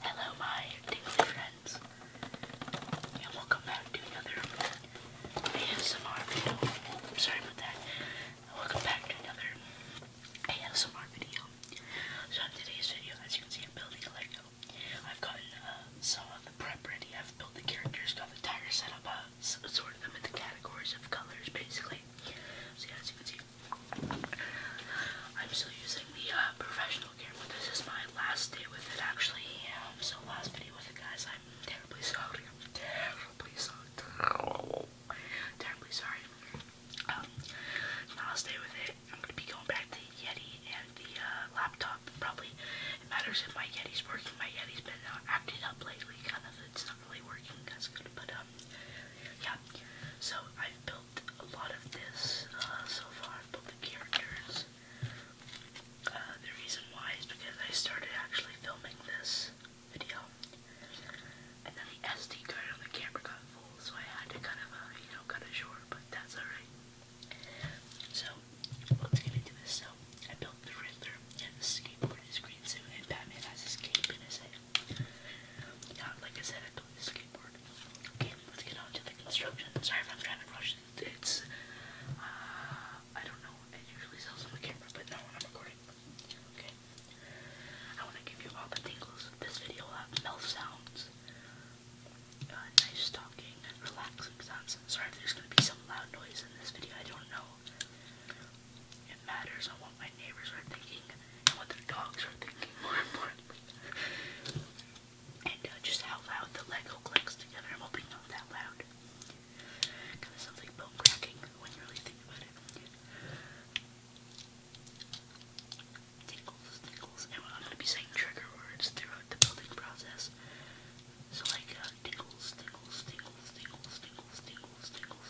Hello, my tingly friends, and welcome back to another ASMR video. Oh, sorry about that. Welcome back to another ASMR video. So, in today's video, as you can see, I'm building a Lego. I've gotten uh, some of the prep ready. I've built the characters, got the tire set up. Uh, uh, sorted them into categories of colors, basically. So yeah, as you can see, I'm still using the uh, professional camera. This is my last day with it, actually. Um, so last video with it, guys. I'm terribly sorry. I'm terribly sorry. I'm Terribly sorry. Um, last day with it. I'm gonna be going back to Yeti and the uh, laptop. Probably it matters if my Yeti's working. My Yeti's been uh, acting up lately. Kind of, it's really working, that's good, but um, yeah. So I've built a lot of this uh, so far. I've built the characters. Uh, the reason why is because I started actually filming this video, and then the SD card on the camera got full, so I had to kind of, uh, you know, cut it short. But that's alright. So let's get into this. So I built the Riddler Joker has skateboard in green suit, and Batman has his cape in his head. Yeah, like I said, I told the skateboard. Okay, let's get on to the construction. Sorry if I'm trying to rush it. It's, uh, I don't know. usually sells on the camera, but not when I'm recording. Okay. I want to give you all the tingles. This video will have mouth sounds, uh, nice talking, relaxing sounds. Sorry there's going to be some loud noise in this video. I don't know. It matters on what my neighbors are thinking and what their dogs are thinking, more importantly. And uh, just how loud the Lego clicks together. I'm hoping not that loud. something bone cracking when you really think about it. Tinkles, tinkles. And I'm going to be saying trigger words throughout the building process. So, like, uh, tinkles, tinkles, tinkles, tinkles, tinkles, tingles, tingles.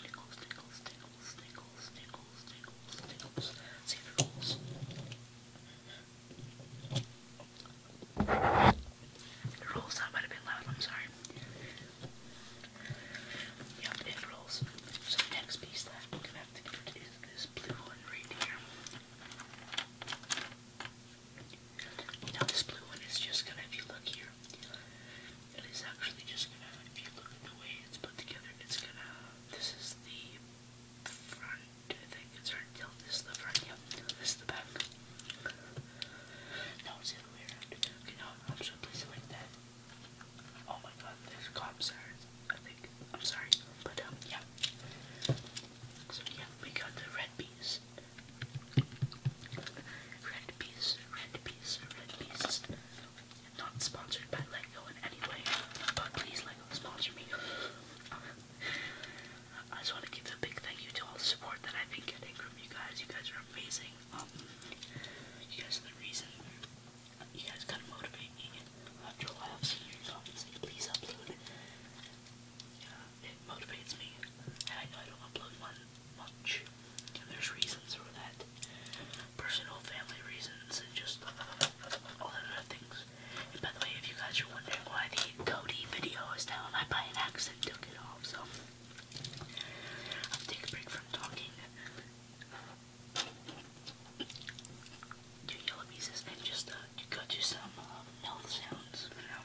Tingles, tingles, tingles, tingles, tingles, tingles, tingles. See if it rolls. It rolls. That might have been loud. I'm sorry. Yep, it rolls. So the next piece that I'm gonna have to get is this blue one right here. Now this blue one is just gonna, if you look here, it is actually just if you look at the way it's put together, it's gonna, this is the front, I think it's hard to tell, this is the front, yep, this is the back. No, it's the other way around. I'm just gonna place it Oh my god, there's cops there, I think. I'm sorry, but um, yeah. So yeah, we got the red bees. Red Piece, Red Piece, Red Piece. Not sponsored by Lego in any way, but please Lego sponsor me. I just want to give a big thank you to all the support that I've been getting from you guys. You guys are amazing. Um, you guys are the reason. You guys gotta motivate me. After a while, I've seen your comments. Please upload it motivates me, and I know I don't upload much, there's reasons for that, personal family reasons, and just all that other things. And by the way, if you guys are wondering why the Cody video is down, I by accident took it off, so I'll take a break from talking. Do yellow pieces and just go uh, to some uh, um, mouth sounds, you know.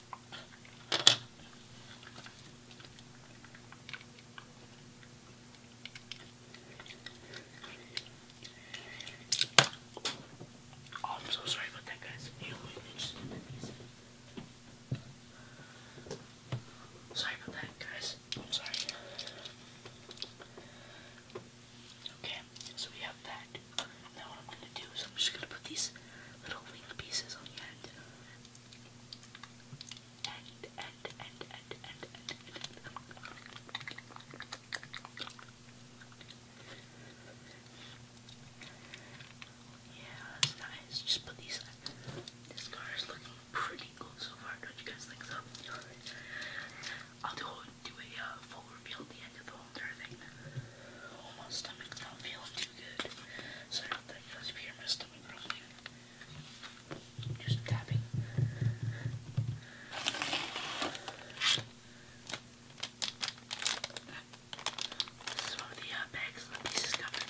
Oh, I'm so sorry about that, guys. Sorry about that, guys. I'm sorry. Okay, so we have that. Now what I'm gonna do is I'm just gonna put these little wing pieces on the end and, and, and, and, and, and. Yeah, that's nice. Just put these on. This car is looking pretty cool so far, don't you guys think so? I'll do, do a uh, full reveal at the end of the whole entire thing. Oh, my stomach's not feeling too good. So I don't think those of you are missed just tapping. This is one of the uh, bags the pieces come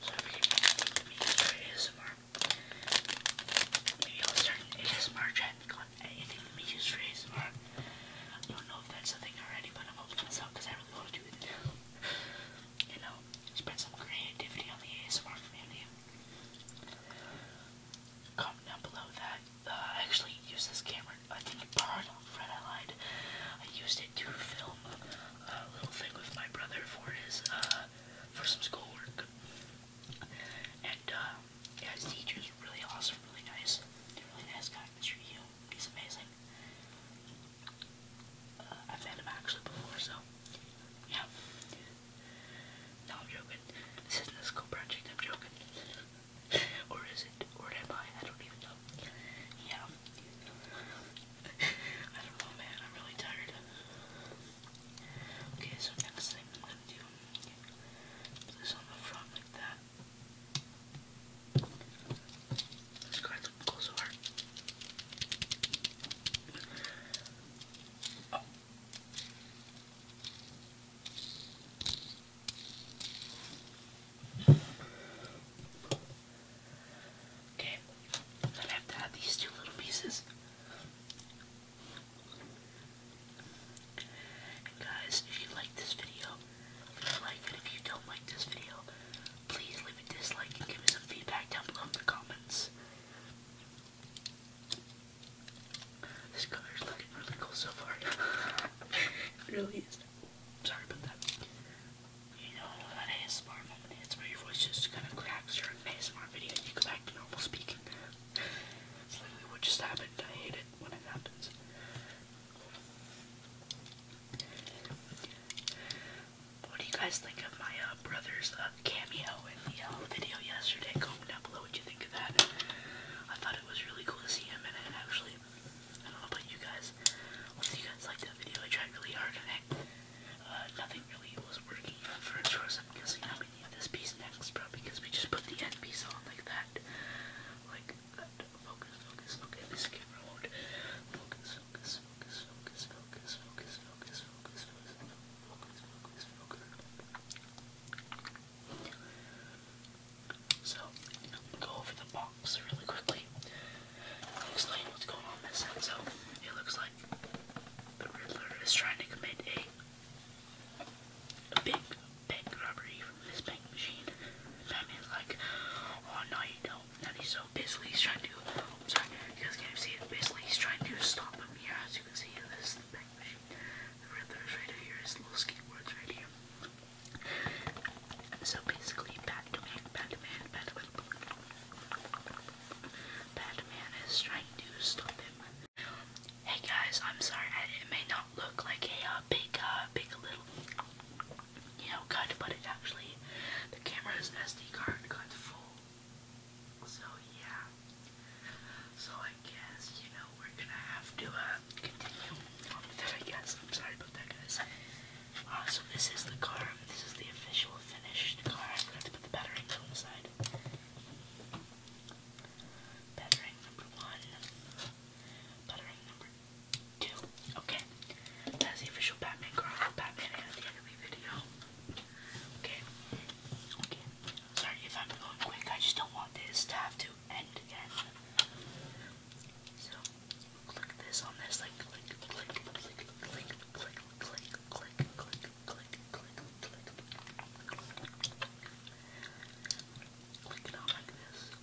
So if you're interested in me for will start ASMR channel called Anything We Use for ASMR. I don't know if that's a thing already, but I'm hoping that's out because I really want to do it. you know, spread some creativity on the ASMR community. Comment down below that uh, I actually used this camera. I think borrowed Fred. I lied. I used it to film a little thing with my brother for his uh, for some schoolwork. And uh, yeah, his really awesome, really nice. Really nice guy, Mr. Yu. He's amazing. Uh, I've met him actually before, so yeah. No, I'm joking. This isn't a school project, I'm joking. or is it? Or am I? I don't even know. Yeah. I don't know, man. I'm really tired. Okay, so next thing I'm gonna do is on the front like that. Okay, I'm gonna have to add these two little pieces. guys, if you like this video, like it, if you don't like this video, please leave a dislike and give me some feedback down below in the comments. This color is looking really cool so far. it really is. Sorry about that. You know that ASMR moment where your voice just kind of cracks during an ASMR video you go back to normal speaking. It's literally what just happened. I hate it when it happens. What do you guys think of my uh, brother's uh, cameo in the uh, video yesterday? Comment down below what you think of that. I thought it was really cool to see him in it, actually. I don't know about you guys. What do you guys like that video? I tried really hard to make nothing really was working for a far as I'm guessing. i need this piece next, bro, because we just put the end piece on like that. Like, Focus, focus, okay, biscuit road. Focus, focus, focus, focus, focus, focus, focus, focus, focus, focus, So, I'm gonna go over the box really quickly. Explain what's going on this end. So, it looks like the Riddler is trying to commit a big, big robbery from this bank machine. Batman's like, oh no, you don't that he's so basically he's trying to I'm sorry, you guys can't see it. Basically he's trying to stop him here as you can see this is the back machine. The riddler's right here, his little skateboard's right here. So basically Batman, Batman, Batman, Batman is trying to stop him. Hey guys, I'm sorry, it may not look like uh, uh, a big, uh, big little you know, cut, but it actually, the camera's SD card got full. So, yeah. So, I guess, you know, we're gonna have to uh, continue I guess. I'm sorry about that, guys. Uh, so, this is the car. This is the official finished car. I forgot to put the batterings on the side. Battering number one. Battering number Two. Okay. That's the official Batman Girl. Batman at the anime video. Okay. Okay. Sorry if I'm going quick. I just don't want this to have to end again. So, click this on this. Like, click, click, click, click, click, click, click, click, click, click, click, click. Click it on like this.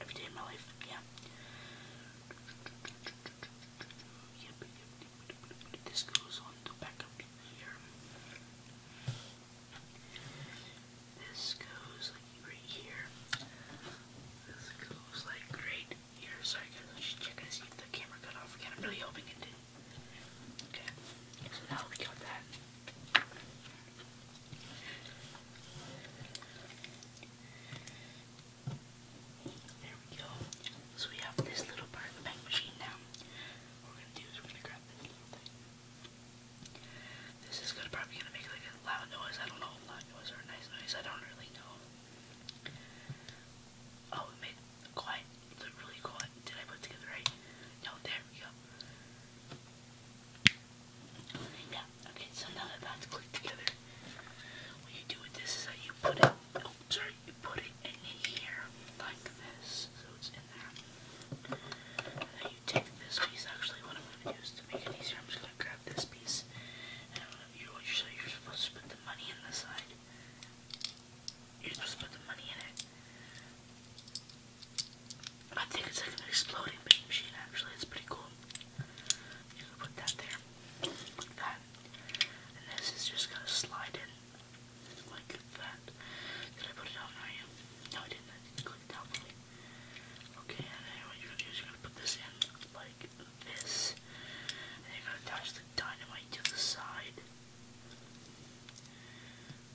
every day of my life. Yeah. This goes on the back of here. This goes like right here. This goes like right here. Sorry guys, I should check and see if the camera cut off again. I'm really hoping it did. so now we got that. There we go. So we have this little part of the machine now. we're gonna do is we're gonna grab this This is gonna probably gonna make like a loud noise. I don't know loud noise or nice noise. I don't really know. Oh, it made quiet. Really quiet. Did I put together right? No, there we go. Yeah, okay, so now they're about to click together. What you do with this is that you put it, oh, sorry, you put it in here, like this, so it's in there. And then you take this piece, actually, what I'm going to do is to make it easier, I'm just going to grab this piece, and I'm to, you know what you're, you're supposed to put the money in the side. You're supposed to put the money in it. I think it's like an exploding machine actually, it's pretty cool. You can put that there, like that. And this is just gonna slide in, like that. Did I put it down right? Oh, no, I didn't, I did Okay, and you're going gonna put this in, like this. And you're gonna attach the dynamite to the side.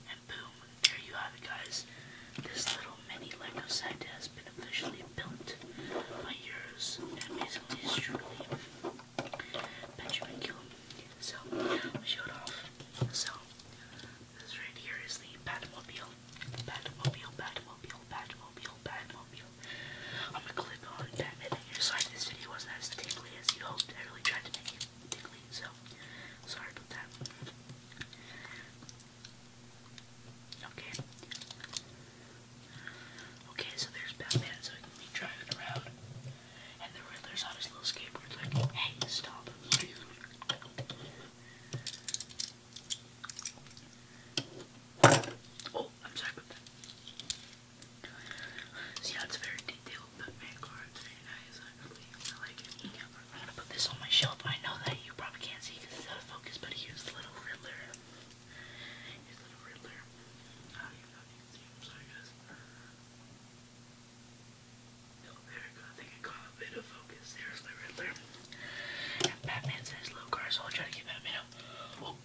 And boom, there you have it guys. This little mini Lego set has been officially built by yours and basically is truly Benjamin Gillum. So, we showed off. So, this right here is the Batmobile. Batmobile, Batmobile, Batmobile, Batmobile. I'm gonna click on Batman here. Sorry this video wasn't as tingly as you hoped. I really tried to make it tingly, so sorry about that. Okay. Okay, so there's Batman, so he can be driving around. And the Riddler's on his little skateboard, like, hey, stop. Oh, I'm sorry about that. it's very detailed, but Vanguard, it's very I really, I like it. I'm gonna put this on my shelf. I know that you probably can't see because it's out of focus, but he was little Riddler. He's little Riddler. I don't even know him. Sorry, guys. Oh, there we go. I think I a bit of focus. There's the Riddler. Batman's in his low car, so I'll try to get Batman out. Oh,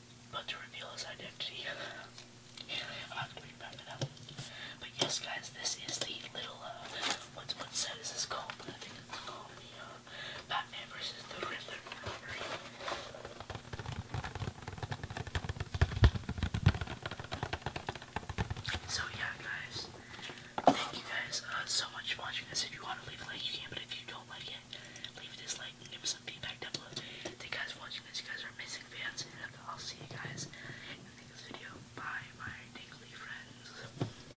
to reveal his identity. I'm gonna make Batman out. But yes, guys, this is the little, uh, what's, what set is this called? I think it's called the, uh, so yeah, guys. Thank you guys uh, so much for watching this. If you want to leave a like, you can. But if you don't like it, leave dislike and give me some feedback Thank you guys for watching this. You guys are amazing fans, I'll see you guys in the next video. Bye, my dangly friends.